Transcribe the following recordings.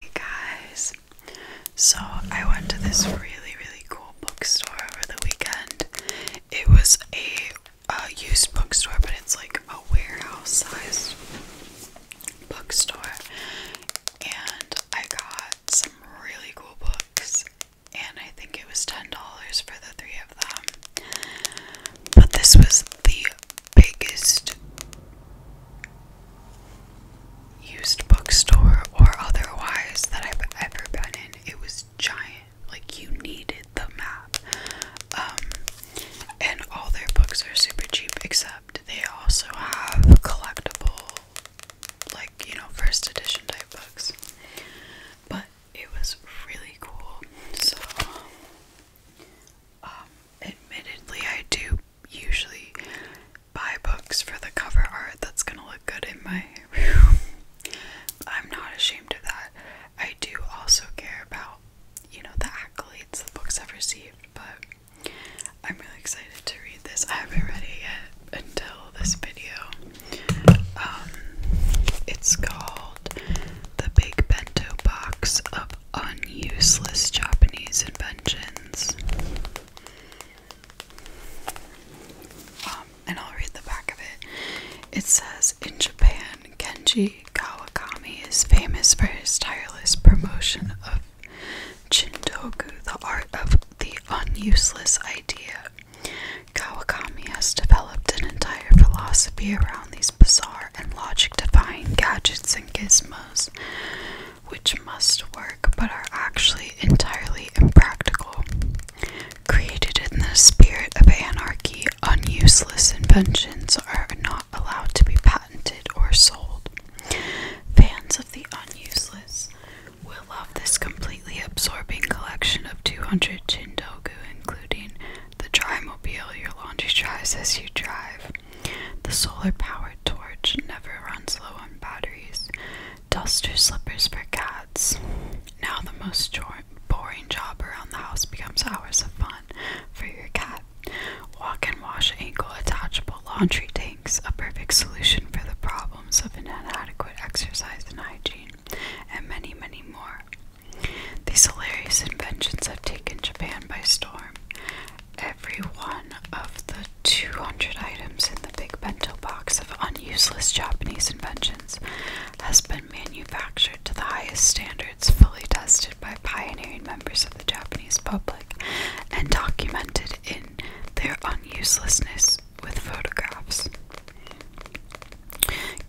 Hey guys, so I went to this really really cool bookstore over the weekend. It was a used bookstore, but it's like a warehouse size bookstore, and I got some really cool books, and I think it was ten dollars for the three of them. But this was the biggest used bookstore or otherwise that I've ever been in. It was giant. Like you needed the map. Um, and all their books are super cheap except they also have collectible like, you know, first edition type books. But it was really cool. So um, admittedly I do usually buy books for the cover art that's gonna look good in my room. I'm not ashamed of that. I do also care about, you know, the accolades the books have received, but I'm really excited to read this. I haven't read it yet until this video. Um, it's called The Big Bento Box of up on useless Japanese inventions. Um, and I'll read the back of it. It says In Japan, Kenji Kawakami is famous for his tireless promotion of Shintoku, the art of the unuseless idea. Kawakami has developed an entire philosophy around these bizarre and logic defying gadgets and gizmos which must work but are actually entirely impractical. Created in the spirit of anarchy, useless inventions are not allowed to be patented or sold. Fans of the unuseless will love this completely absorbing collection of 200 Chindogu, including the Drymobile your laundry dries as you drive, the solar-powered torch never runs low on batteries. Duster slippers for cats. Now the most boring job around the house becomes hours of fun for your cat. Walk and wash ankle attachable laundry tanks, a perfect solution for the problems of inadequate exercise and hygiene, and many, many more. These hilarious inventions have taken Japan by storm every one of the 200 items in the big bento box of useless Japanese inventions has been manufactured to the highest standards, fully tested by pioneering members of the Japanese public, and documented in their unuselessness with photographs.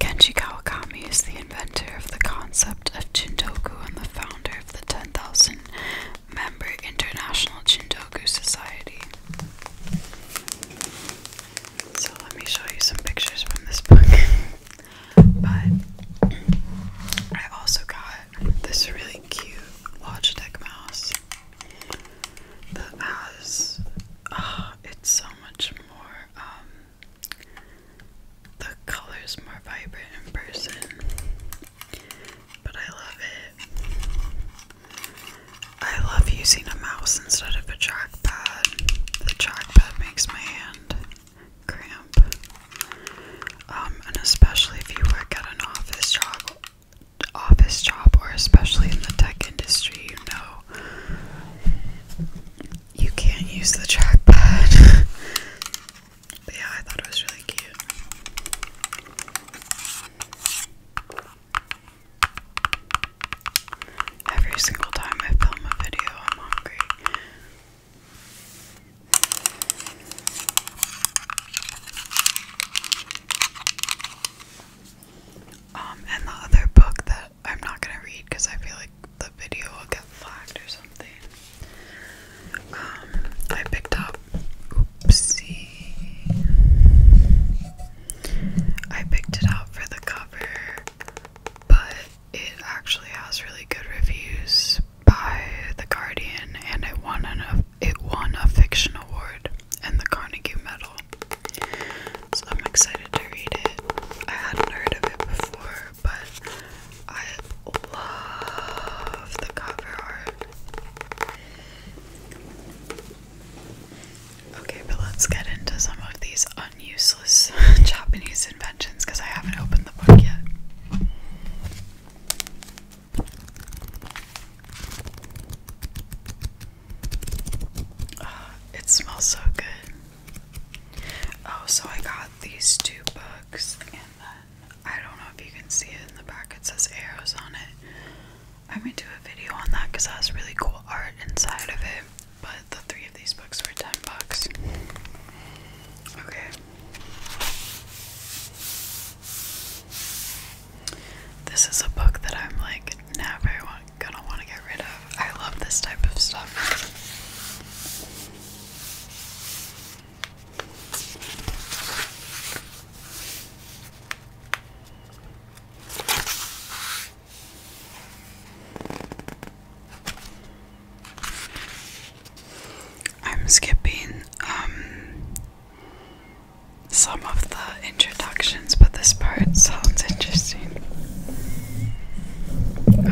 Kenji Kawakami is the inventor of the concept of Chintoku and the founder of the 10,000 member International Chindogu Society. So let me show you some pictures from this book. but I also got this really cute Logitech mouse that has. Ah, it's so much more um, the color's more vibrant in person, but I love it. I love using a mouse instead of a trackpad. The trackpad makes my hand cramp. Um, and especially if you work at an office job office job or especially in the tech industry, you know you can't use the trackpad. But yeah, I thought it was really cute. Every single time I film a video, I'm hungry. Um, and the other book that I'm not gonna read because I feel like the video will got or something. Um, I picked up. Oopsie. I picked it out for the cover, but it actually has really good reviews by The Guardian, and it won an it won a fiction award and the Carnegie Medal. So I'm excited to read it. I hadn't heard of it before but I love the cover art. Okay, but let's get into some of these unuseless Japanese inventions because I haven't opened the book yet. Ah, it smells so good. Oh, so I got these two books, and I don't know if you can see it in the back, it says arrows on it. I may do a video on that because it has really cool art inside of it. But the three of these books were 10 bucks. Okay. This is a book that I'm like never gonna want to get rid of. I love this type of stuff. I'm skipping um, some of the introductions, but this part sounds interesting.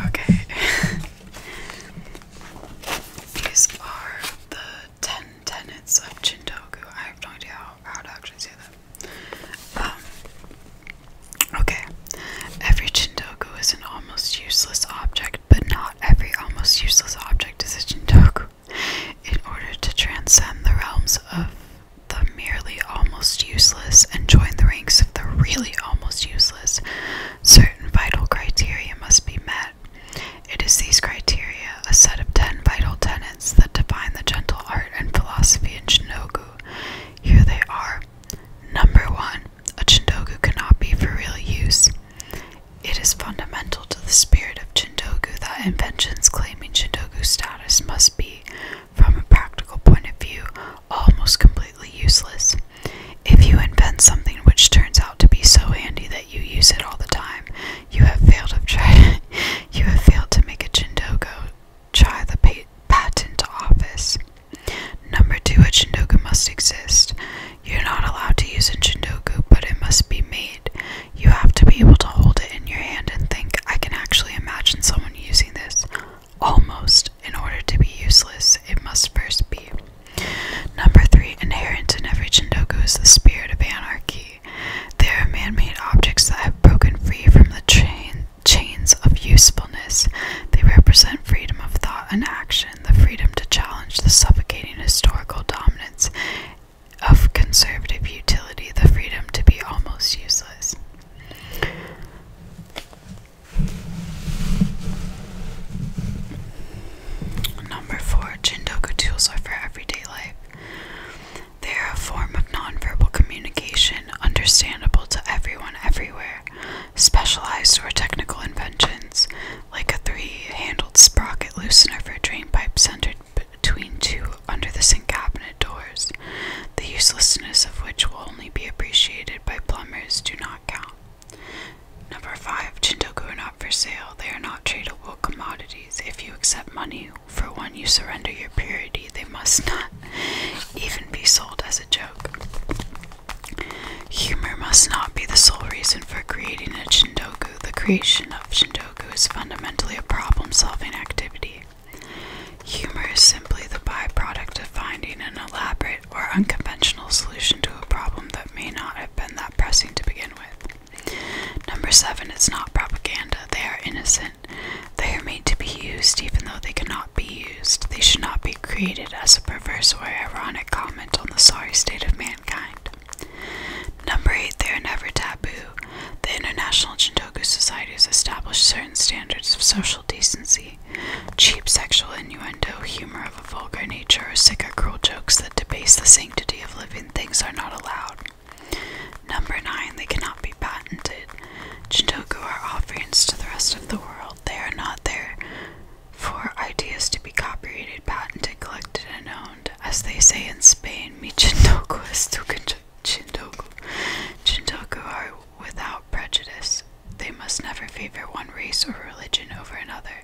Okay. These are the 10 tenets of Chintoku. I have no idea how, to actually say that. Um, okay. Every Chintoku is an almost useless object, but not every almost useless object is a Chintoku. In order to transcend the realms of the merely almost useless and join the ranks of the really almost useless, certain vital criteria must be met it is these criteria, a set of ten vital tenets, that define the gentle art and philosophy of Shindogu. Here they are. Number one, a Chindogu cannot be for real use. It is fundamental to the spirit of Chindogu that inventions claiming Chindogu status must be, from a practical point of view, almost completely useless. If you invent something which turns out to be so handy that you use it all the time, you have failed to try. you have failed to make a chindogo try the patent office. Number two, a chindogo must exist. You're not allowed to use a chindogo, but it must be made. You have to be able to hold it in your hand and think, I can actually imagine someone using this. Almost, in order to be useless, it must first be Number three, inherent in every Chindoku is the spirit of anarchy. They are man-made objects that have broken free from the chains of usefulness. They represent freedom of thought and action, the freedom to challenge the suffocating historical dominance of conservative utility, the freedom to be almost useless. Number four, Jindoku tools are for everyday life. They are a form of nonverbal communication, understandable to everyone everywhere. Specialized or technical inventions, like a three-handled sprocket loosener for a drain pipe centered between two under-the-sink cabinet doors, the uselessness of which will only be appreciated by plumbers, do not count. Number 5. Chintoku are not for sale. They are not tradable commodities. If you accept money for one, you surrender your purity. They must not even be sold as a joke. Humor must not be the sole reason for creating a Chintoku. The creation of Chintoku is fundamentally a problem solving activity. Humor is simply the byproduct of finding an elaborate or unconventional solution to a problem that may not have been that pressing to begin with. Number seven, it's not propaganda. They are innocent. They are made to be used even though they cannot be used. They should not be created as a perverse or ironic comment on the sorry state of mankind. Number eight, they are never taboo. The International Chintoku Society has established certain standards of social decency Cheap sexual innuendo, humor of a vulgar nature, or sick or cruel jokes that debase the sanctity of living things are not allowed. Number nine, they cannot be patented. Jintoku are offerings to the rest of the world. They are not there for ideas to be copyrighted, patented, collected, and owned. As they say in Spain, mi chintoku es tu chintoku. Chintoku are without prejudice. They must never favor one race or religion over another.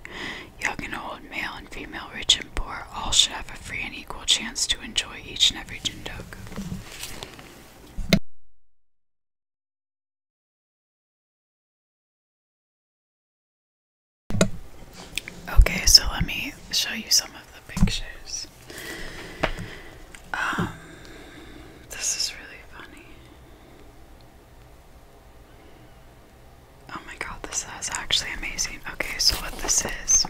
Young and old, male and female, rich and poor, all should have a free and equal chance to enjoy each and every jindok. Okay, so let me show you some of the pictures. Um, this is really funny. Oh my god, this is actually amazing. Okay, so what this is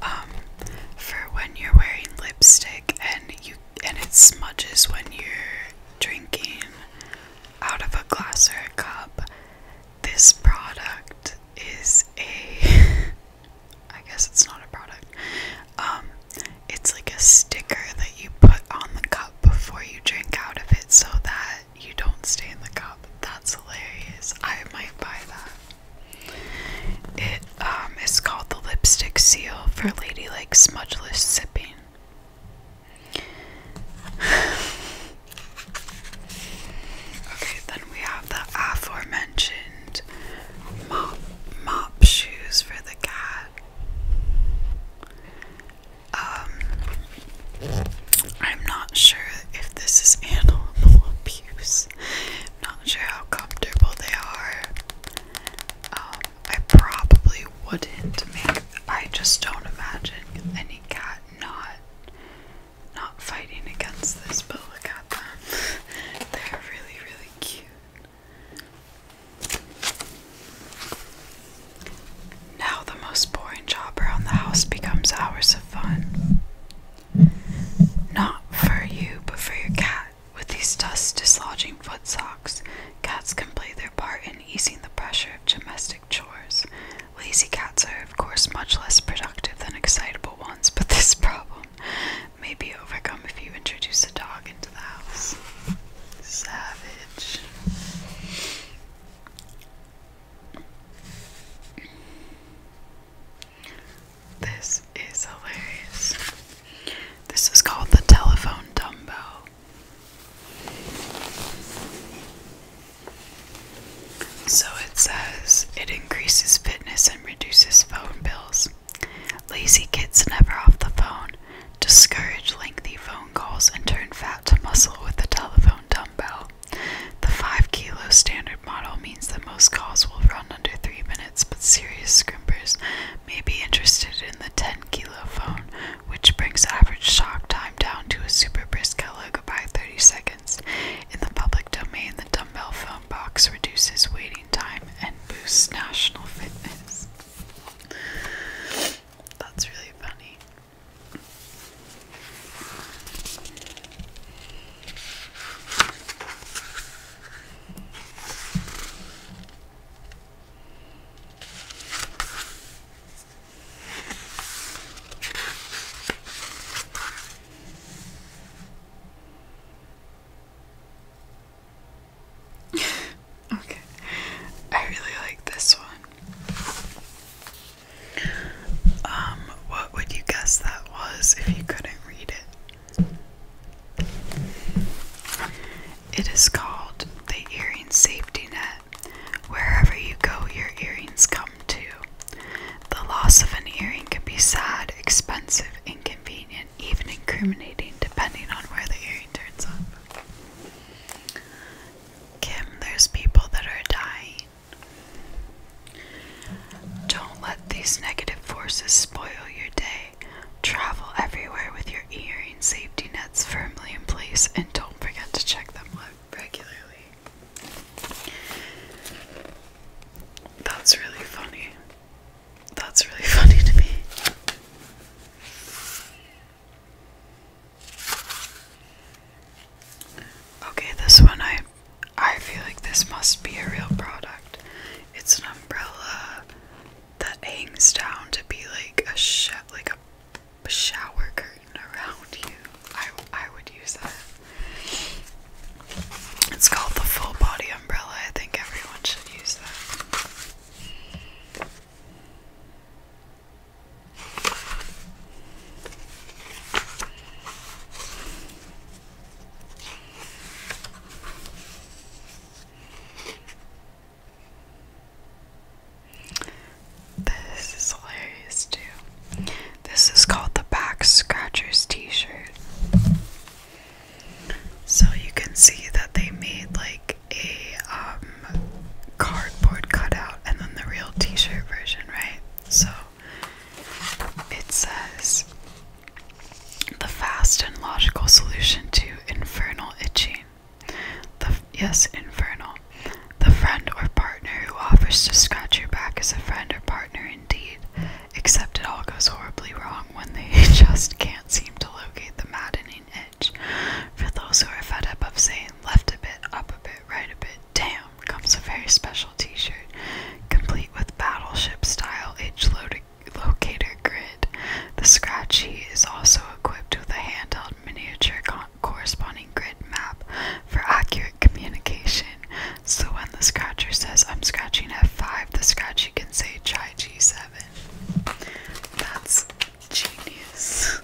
um for when you're wearing lipstick and you and it smudges when you're drinking out of a glass or a cup. This product is a I guess it's not a product. Um it's like a sticker that you put on the cup before you drink out of it so that you don't stay in the cup. That's hilarious. I might buy that. It um, is called the lipstick seal for ladylike smudgeless sipping. okay, then we have the aforementioned mop mop shoes for the cat. Um, I'm not sure if this is animal abuse. I'm not sure how comfortable they are. Um, I probably wouldn't make. I just don't imagine any cat not not fighting against this. But look at them. They're really, really cute. Now the most boring job around the house becomes hours of fun. Not for you, but for your cat. With these dust dislodging foot socks, cats can play their part in easing the pressure of domestic chores. Lazy cats are, of course, much less productive than excitable ones, but this problem may be overcome if you introduce a dog Savage. This is hilarious. This is called the telephone dumbbell. So it says it increases fitness and reduces phone bills. Lazy kids never off the phone, discourage lengthy phone calls, and turn fat to muscle with the telephone dumbbell. The 5 kilo standard model means that most calls will run under 3 minutes, but serious scrimpers may be interested in the 10 kilo phone, which brings average shock time down to a super brisk kilo by 30 seconds. In the public domain, the dumbbell phone box reduces waiting time and boosts national fitness. That's really funny. okay, I really like this one. Um, what would you guess that was if you couldn't read it? It is called the Earring Safety Net. Wherever you go, your earrings come too. The loss of an earring can be sad, expensive, inconvenient even incriminating depending on where the earring turns up. Kim, there's people that are dying. Don't let these negative forces spoil your day. Travel everywhere with your hearing safety nets firmly in place and don't forget to check them regularly. That's really funny. That's really funny to me. Okay, this one I I feel like this must be a real product. It's an umbrella that hangs down to be like a sh like a shower curtain around you. I I would use that. It's called the full body umbrella. I think everyone should use that. This is hilarious too. This is called the back scratchers t-shirt. So you can see that they made like a um, cardboard cutout and then the real t shirt version, right? So it says the fast and logical solution to infernal itching. The, yes, infernal. The friend or partner who offers to scratch your back is a friend or partner indeed, except it all goes horribly wrong when they just can't seem to locate the maddening itch. For those who are fed up of saying left a bit, up a bit, right a bit, damn, comes a very special t shirt, complete with battleship style itch locator grid. The scratchy is also equipped with a handheld miniature corresponding grid map for accurate communication. So when the scratcher says, I'm scratching F5, the scratchy can say, try G7. That's genius.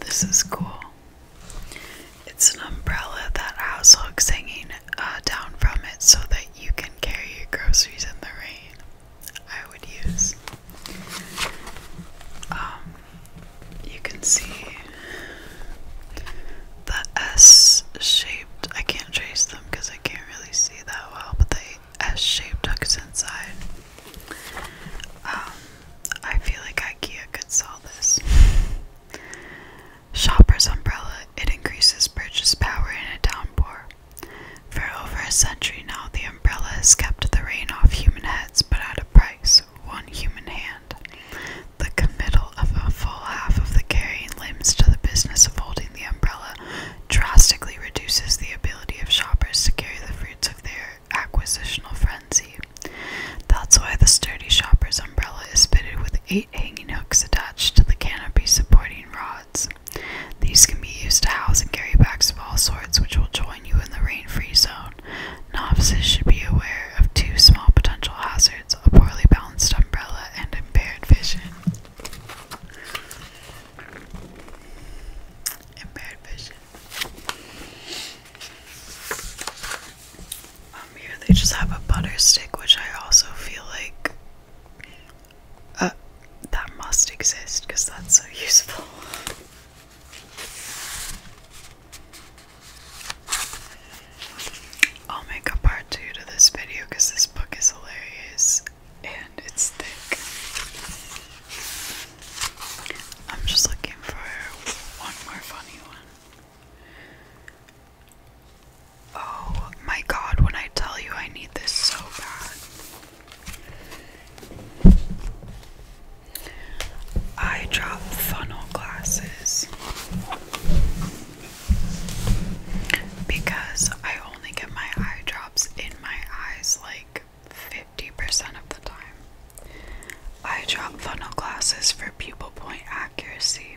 This is cool. It's an umbrella that has hooks hanging uh, down from it so that you can carry your groceries in the rain. I would use. Um, you can see the S shaped. I can't trace them because I can't really see that well, but they S-shaped hooks inside. Um, I feel like IKEA could sell this. Shopper's umbrella. It increases purchase power in a downpour. For over a century now, the umbrella has kept the rain off human heads, but at a price one human hand. The committal of a full half of the carrying limbs to the business of holding the umbrella drastically reduces the ability of shoppers to carry the fruits of their acquisitional frenzy. That's why the sturdy shopper's umbrella is fitted with eight hanging hooks attached to the canopy supporting rods. These can be used to house and carry bags of all sorts, which will join you in the rain free zone. Novices should be aware of two small potential hazards a poorly balanced umbrella and impaired vision. Impaired vision. Um, here they just have a butter stick, which I also feel like uh, that must exist because that's so useful. I'll make a part two to this video because this book is hilarious and it's thick. I'm just looking for one more funny one. Oh my god, when I tell you I need this so bad. I funnel glasses because I only get my eye in my eyes like 50% of the time. I drop funnel glasses for pupil point accuracy.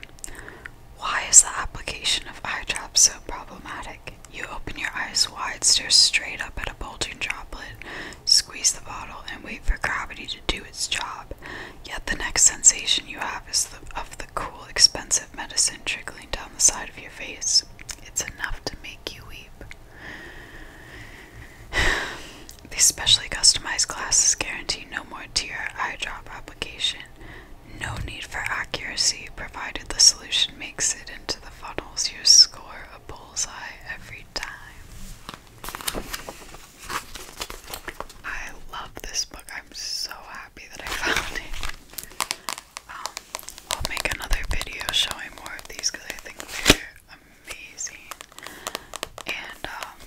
Why is the application of eye drops so problematic? You open your eyes wide, stare straight up at a bulging droplet, squeeze the bottle, and wait for gravity to do its job. Yet the next sensation you have is of the cool, expensive medicine trickling down the side of your face. It's enough to make you weep. These specially customized glasses guarantee no more tear eye drop application. No need for accuracy, provided the solution makes it into the funnels. You score a bullseye every time. I love this book. I'm so happy that I found it i will make another video showing more of these because I think they're amazing. And um,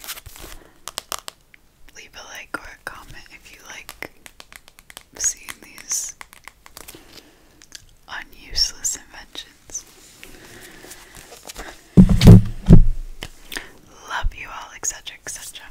leave a like or a comment if you like seeing these unuseless inventions. Love you all, etc., etc.